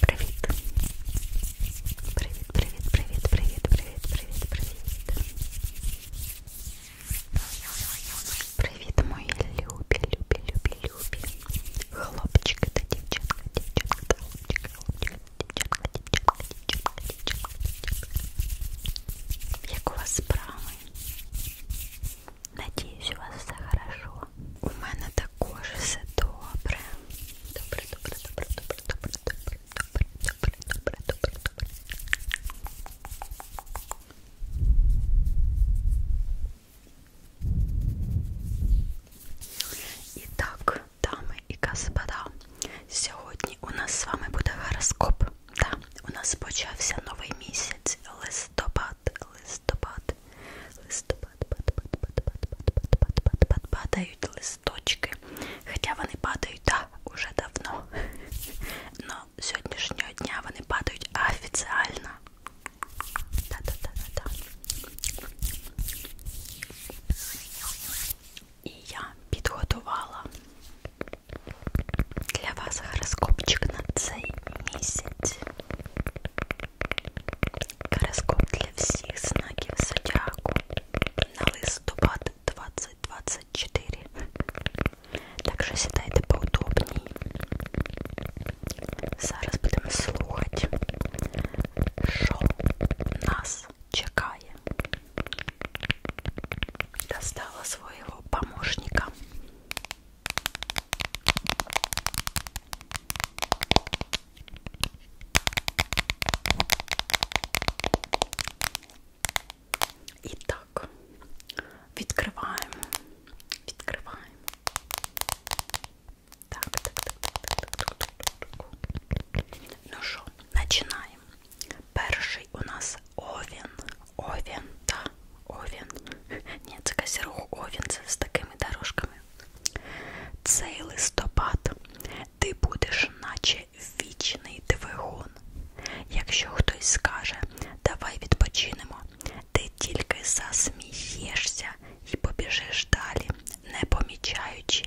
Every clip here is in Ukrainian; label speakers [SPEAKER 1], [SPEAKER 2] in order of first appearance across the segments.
[SPEAKER 1] Привіт. Привіт, привіт, привіт, привіт, привіт, привіт, привіт. Привіт, мої любі, любі, любі, любі. Хлопчики та дівчатка, дівчатка та хлопчики, хлопчики та дівчатка, дівчатка, дівчатка, дівчатка, дівчатка. Як у вас справи? Надіюсь, у вас все хорошо. У мене також все добре. Добре, добре, добре, добре, добре, добре, добре, добре, добре, добре, добре. І так, дами і господа, сьогодні у нас з вами буде гороскоп. Так, у нас почався новий місяць листопад листопад, листопад, листопад, пад, пад, пад, пад, пад, пад, пад, пад, падають листочки. Хоча вони падають, так, да, уже давно. Но сьогоднішнього дня вони падають офіціально. Та-та-та-та-та. І я підготувала для вас гороскопчик на цей місяць. Гороскоп для всіх знаків зодіаку на листопад 2024. Так що сідайте поудобній. Зараз будемо слухати, що нас чекає. Достала свого помощника. І так, відкриваємо, відкриваємо. Так, так, так, так, так, так. Ну що, починаємо. Перший у нас овен. Овен, да, овен. Ні, це козірух овен, це з такими дорожками. Цей листопад ти будеш, наче вічний двигун. Якщо хтось скаже, давай відпочинемо, ти тільки засмієшся і побіжиш далі, не помічаючи,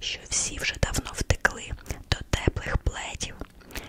[SPEAKER 1] що всі вже давно втекли до теплих пледів.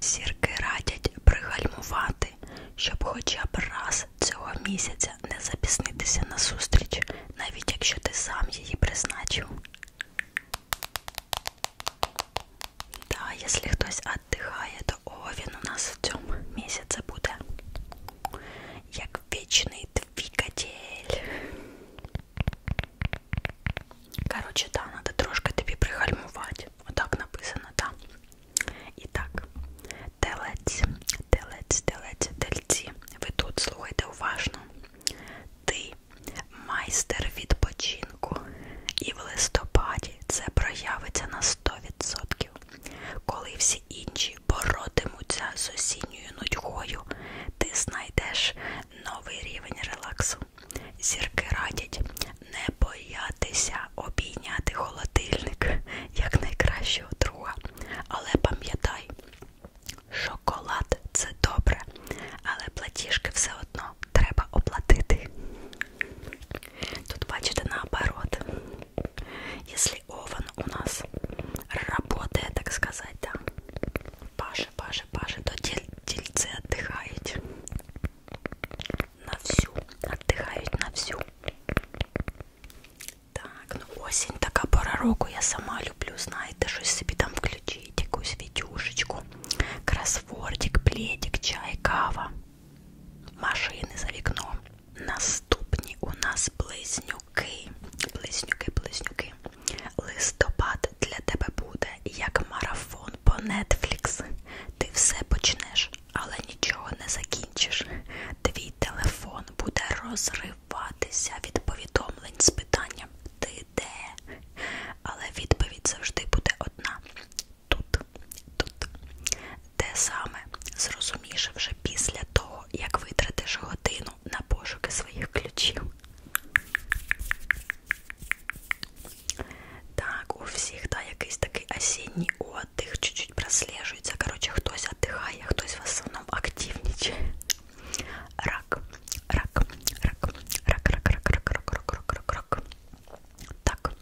[SPEAKER 1] Зірки радять пригальмувати, щоб хоча б раз цього місяця не запіснитися на зустріч, навіть якщо ти сам її призначив. Та, якщо хтось віддихає, то о, він у нас в цьому місяці буде як вічний двигатель. Коротше, да, треба трошки тобі пригальмувати. Отак написано, так. Да. І так, телець, телець, телець, тельці. Ви тут слухайте уважно. Ти майстер відпочинку. І в листопаді це проявиться на 100%. Коли всі інші боротимуться з осінньою нудьгою, ти знайдеш новий рівень релаксу. Зірки радять, не боятися обійняти холодильник як найкращого друга. Але пам'ятай, шоколад це добре, але платіжки все одно треба оплатити. Тут, бачите, наоборот, если овен у нас работает, так сказать, да, Паша, Паша, Паша, то дельцы отдыхает на всю, отдыхають на всю. Так, ну осінь така пора року, я сама люблю, знаєте, щось собі там включити, якусь відюшечку, кросвордик, пледик, чай, кава, машини за вікном. Наступні у нас близнюки. Близнюки, близнюки. Листопад для тебе буде як марафон он по Netflix. Ти все почнеш, але нічого не закінчиш. Твій телефон буде розриватися від повідомлень з питанням Ти де? Але відповідь завжди буде одна. Тут, тут. Те саме зрозумієш вже після того, як витратиш годину на пошуки своїх ключів. Так, у всіх да, якийсь такий осінній отдих, чуть-чуть прослежується. Коротше, хтось віддихає, хтось в основному активнічає. Рак, рак, рак, рак, рак, рак, рак, рак, рак, рак, рак, рак. Так,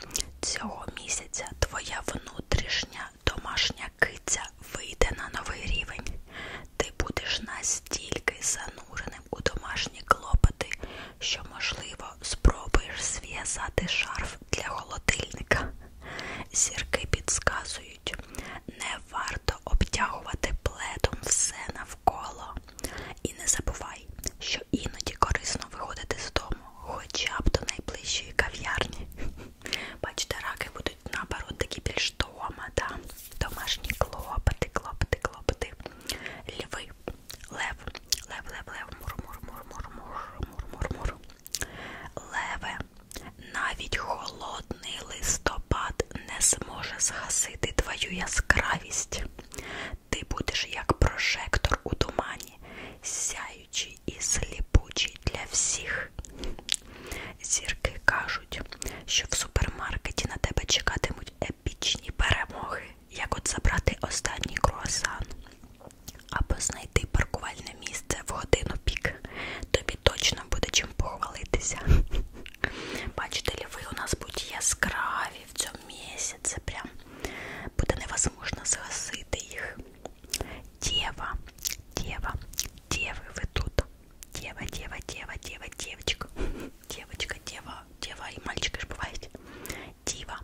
[SPEAKER 1] цього місяця твоя внутрішня домашня киця вийде на новий рівень. Ти будеш настільки зануреним у домашні клопоти, що, можливо, спробуєш зв'язати шарф для холодильника. Зірки підсказують, не варто обтягувати пледом все навколо. І не забувай, що іноді корисно виходити з дому, хоча б до найближчої кав'ярні. Бачите, раки будуть наоборот такі більш дома, да? домашні клопоти, клопоти, клопоти. Льви Ой, лев, лев, лев, лев, мур, мур, мур, мур, мур, мур, мур, Леве, навіть холодний листопад не зможе згасити твою яскравість. Ти будеш як прожектор у тумані, сяючий і сліпучий для всіх. Зірки кажуть, що в супермаркеті на тебе чекатимуть епічні перемоги, як от забрати останній круасан або знайти паркувальне місце в годину пік. Тобі точно буде чим похвалитися. Бачите, ліви у нас будуть яскраві в цьому місяці. Прям буде невозможно згасити їх. Дєва, дєва, дєви ви тут. Дєва, дєва, дєва, дєва, дєвочка. Дівочка, діва, діва і мальчики ж бувають. Діва.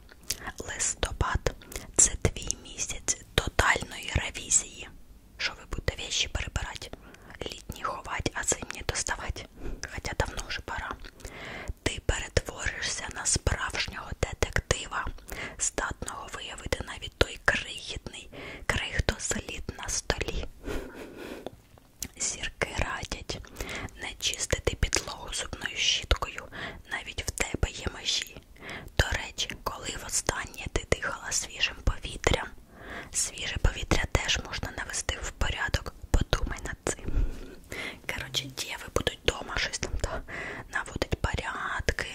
[SPEAKER 1] Листопад це твій місяць тотальної ревізії. Що ви будете вещі перебирати, літні ховати, а зимні доставати. Хоча давно вже пора. Ти перетворишся на справжнього детектива, здатного виявити навіть той крихітний крихто слід на столі. Зірки радять не чистити підлогу зубною щіткою, навіть в тебе є межі. До речі, коли востаннє ти дихала свіжим повітрям, свіже повітря теж можна навести в порядок. Подумай над цим. Коротше, діви будуть вдома щось там та наводить порядки,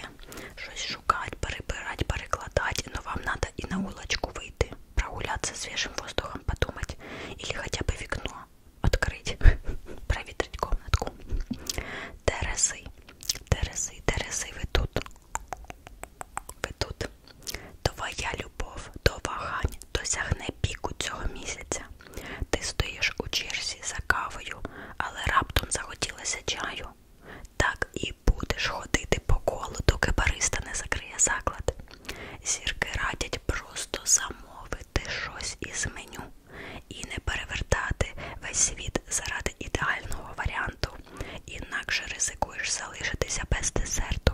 [SPEAKER 1] щось шукати, перебирати, перекладати, ну вам треба і на улочку вийти, прогулятися свіжим воздухом, подумати, або хоча б вікно открыть, проветрить комнатку. Терезы, Терези, Терези, ви тут. Ви тут. Твоя любов до вагань досягне піку цього місяця. Ти стоїш у черзі за кавою, але раптом захотілося чаю. Так і будеш ходити по колу, доки бариста не закриє заклад. Зірки радять навіть просто замовити щось із меню і не перевертати весь світ заради ідеального варіанту, інакше ризикуєш залишитися без десерту.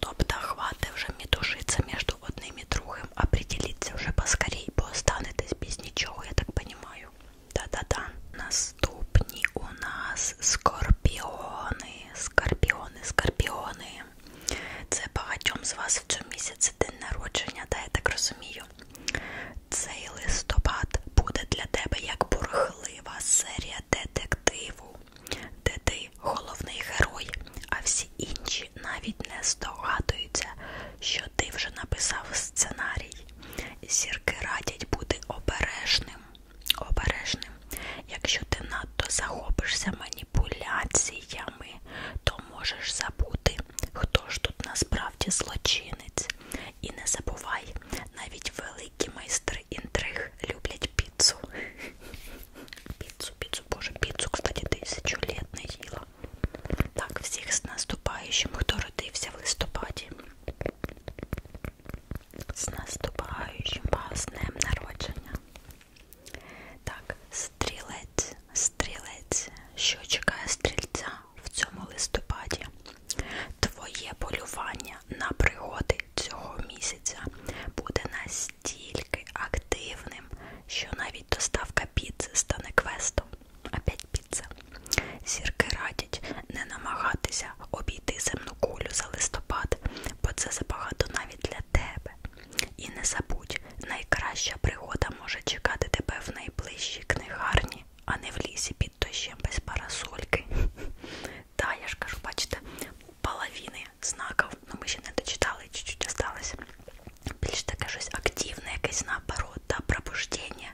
[SPEAKER 1] Тобто хвати вже мітушиться між одним і другим, а приділіться вже поскорій, бо останетесь без нічого, я так розумію. Та-та-та. Наступні у нас скорпіони, скорпіони, скорпіони. Це багатьом з вас в цьому місяці день народження, та я так розумію. Цей листопад буде для тебе як бурхлива серія детективу, де ти головний герой, а всі інші навіть не здогадуються, що ти вже написав сценарій. Зірки радять бути обережним обережним. Якщо ти надто захопишся маніпуляціями, то можеш забути, хто ж тут насправді злочинець. І не забувай, навіть великі майстри інтриг люблять піцу. Піцу, піцу, боже, піцу, кстати, тисячу літ не їла. Так, всіх з наступаючим, хто родився в листопаді. З наступаючим вас днем народження. Так, стрілець, стрілець, що чекає стрільця в цьому листопаді. Твоє полювання на пригоди цього місяця буде настільки активним, що навіть доставка піци стане квестом. Опять піца. Зірки радять не намагатися обійти земну кулю за листопад, бо це забагато навіть навіть для тебе. І не забудь, найкраща пригода може чекати тебе в найближчій книгарні, а не в лісі під дощем без парасольки. Та, я ж кажу, бачите, половини знаків, ну ми ще не дочитали, чуть-чуть осталось. Більш таке щось активне, якесь наоборот, та да, пробуждення,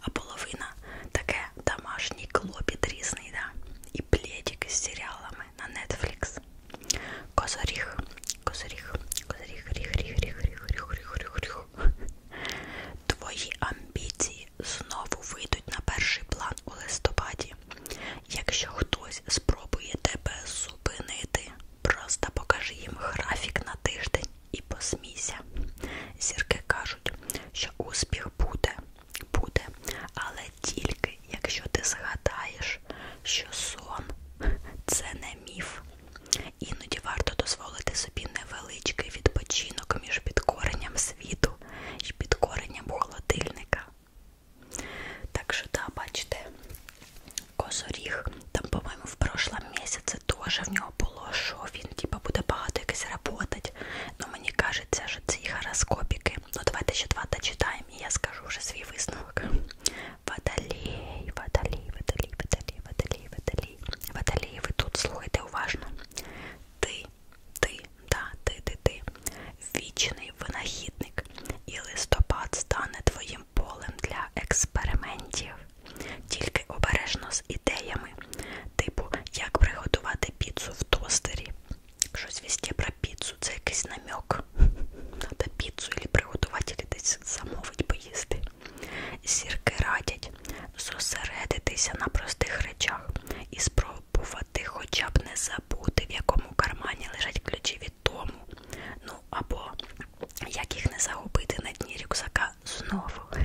[SPEAKER 1] а половина таке домашній клопіт різний, да, і пледик із серіалами на Netflix. Козоріг, козоріг, козоріг, ріг, ріг, ріг, ріг, ріг, ріг, ріг, ріг. Твої амбіції знову вийдуть на перший план у листопаді. Якщо хтось спробує тебе зупинити, просто покажи їм графік на тиждень і посмійся. Зірки кажуть, що успіх буде, буде, але тільки якщо ти згадаєш, що сон це не міф. Іноді варто дозволити собі невеличкий відпочинок між підкоренням світу і підкоренням холодильника. Так що, да, бачите, козоріг, там, по-моєму, в прошлом місяці теж в нього було, що він типа буде багато якось працювати. Ну, мені кажеться, що ці гороскопіки. Ну, давайте ще два дочитаємо, і я скажу вже свій висновок. Водолій, водолій, водолій, водолій, водолій, водолій. Водолій, ви тут слухайте уважно. Ти, ти, да, ти, ти, ти. Вічний винахідник. І листопад стане твоїм полем для експериментів. Тільки обережно з ідеями. Типу, як приготувати піцу в тостері, Щось везде про піцу, це якийсь намек. Треба піцу або приготувати, або десь замовити, поїсти. Зірки радять зосередитися на простих речах і спробувати хоча б не забути, в якому кармані лежать ключі від дому. Ну або як їх не загубити на дні рюкзака знову.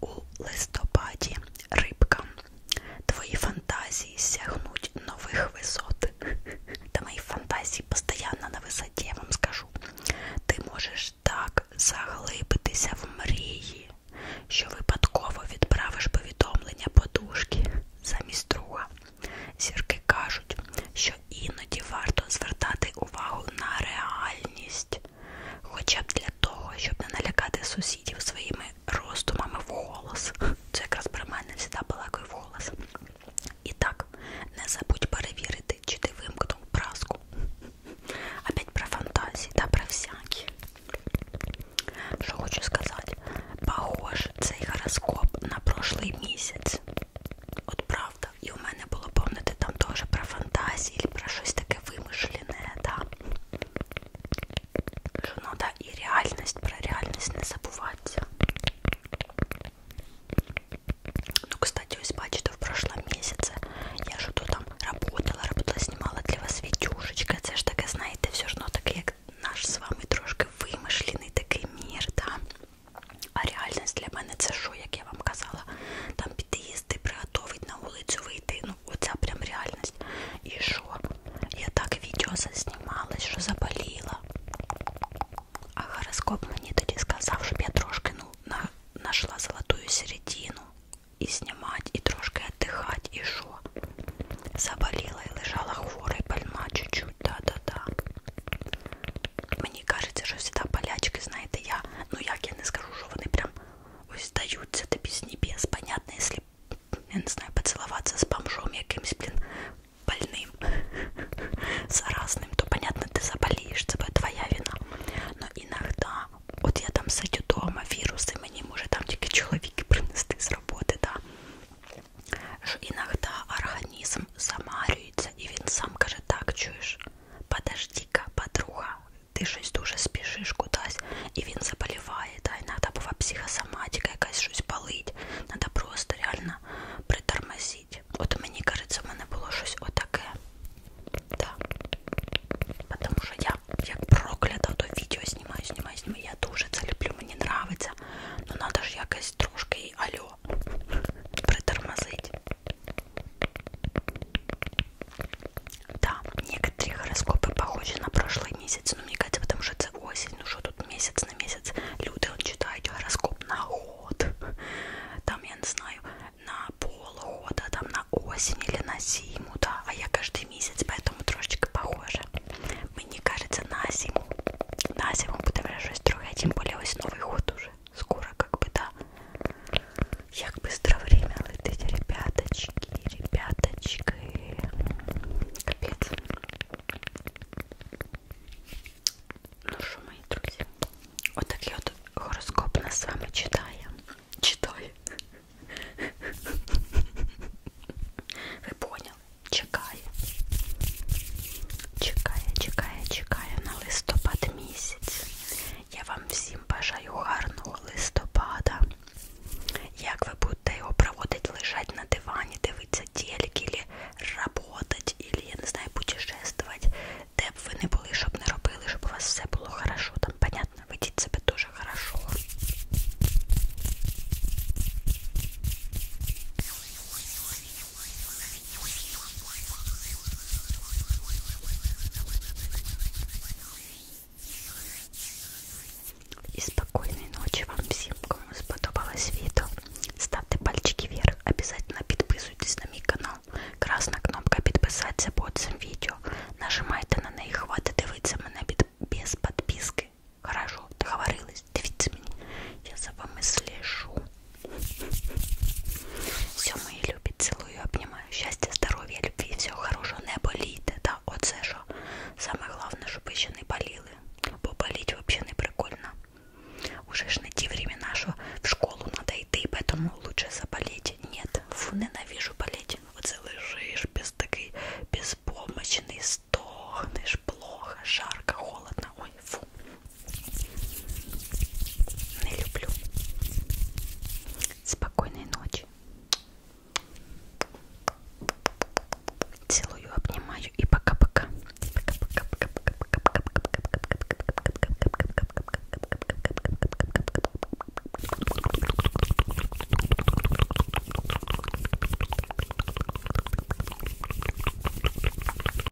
[SPEAKER 1] У листопаді рибка. Твої фантазії сягнуть нових висот. Та мої фантазії постійно на висоті, я вам скажу. Ти можеш так заглибитися в мрії, що випадково відправиш повідомлення подушки замість друга. Зірки кажуть, що іноді варто звертати увагу на реальність, Хоча б для того, щоб не налякати сусідів своїми роздумами в голос. Це якраз про мене завжди балакаю в голос. І так, не забудь перевірити, чи ти вимкнув праску. Опять про фантазії та про всякі. Що хочу сказати, похож цей гороскоп на прошлий місяць. От правда, так. І у мене було, помните, там теж про фантазії, про щось таке вимишлене, да? Що надо і реальність, про реальність не забуватися. Ну, кстати, ось бачите, в прошлом місяці я ж тут там работала, работала, знімала для вас відюшечка. Це ж таке, знаєте, все одно ну, таке, як наш з вами трошки вимишлений такий мір, да? А реальність для мене це що, як як я вам казала, там під'їзди, приготовить на вулицю вийти. Ну, оця прям реальність. І що? Я так відео заснімалась, що заболіла. А гороскоп мені тоді сказав, щоб я трошки ну, на, нашла золотую середину. І знімати, і трошки віддихати, і що? Заболіла і лежала хвора і больна чуть-чуть, да-да-да. Мені кажеться, що всі полячки, знаєте, я, ну як я не скажу, що вони прям ось здаються тобі з небес. Понятно, якщо, я не знаю, поцілуватися з бомжом якимсь, блін, больним, заразним, то, понятно, ти заболієш, це твоя вина. Но іногда, от я там сидю вдома, віруси, мені може там тільки чоловіки принести з роботи, да. Що іногда організм замарюється і він сам каже, так, чуєш, подожди. Віка, подруга, ти щось дуже спішиш кудись, і він заболіває, та й треба була психосоматика, якась щось палить. Треба просто реально притормозити. От мені кажеться, в мене було щось отаке. Да. Тому що я як проклята, то відео знімаю, знімаю, знімаю. Я дуже це люблю, мені подобається. Ну треба ж якось трошки і алло притормозить. Да, некоторые гороскопы похожи на прошлый месяц, но мне кажется, потому что это осень, ну что тут месяц на месяц. Люди, он читает гороскоп на год, там, я не знаю, на полгода, там на осень или на зиму, да, а я каждый месяц, поэтому трошечки похоже. Мені кажется, на зиму, на зиму буде вже щось друге, тим більше ось Новий год уже. скоро как бы, да, як быстро время летит, ребяточки, ребяточки, капец. Ну що, мої друзі, отакий от, от гороскоп нас з вами читає. Читає. Ви поняли? Чекає. Чекає, чекає, чекає на листопад місяць. Я вам всім бажаю гарного листопада. Як ви будете його проводити, лежать на дивані, дивитися тільки, или работать, или, я не знаю, путешествувати, де б ви не були, щоб не робили, щоб у вас все було хорошо. Там, понятно, ведіть себе дуже хорошо. И спокойной ночи вам всем, кому сподобалось видео. Ставьте пальчики вверх, обязательно подписывайтесь на мой канал. Красна кнопка підписатися под цим відео. Нажимайте на неї, хватить дивитися мене під... без підписки. Хорошо, договорились, дивіться мені. Я за вами слежу. Все, мої любі, цілую, обнімаю. Щастя, здоров'я, любві, всього хорошого, не болійте. Та оце що саме головне, щоб ви ще не боліли. Бо боліть взагалі не прикольно. Уже ж не ті времена, що в школу треба йти, тому лучше заболіть. Нет, фу, ненавижу боліть. Оце лежиш без такий безпомощний, стогнеш, плохо, жарко, холодно. Ой, фу, Не люблю. Спокойной ночи. Целую, обнимаю и пока-пока. Пока-пока.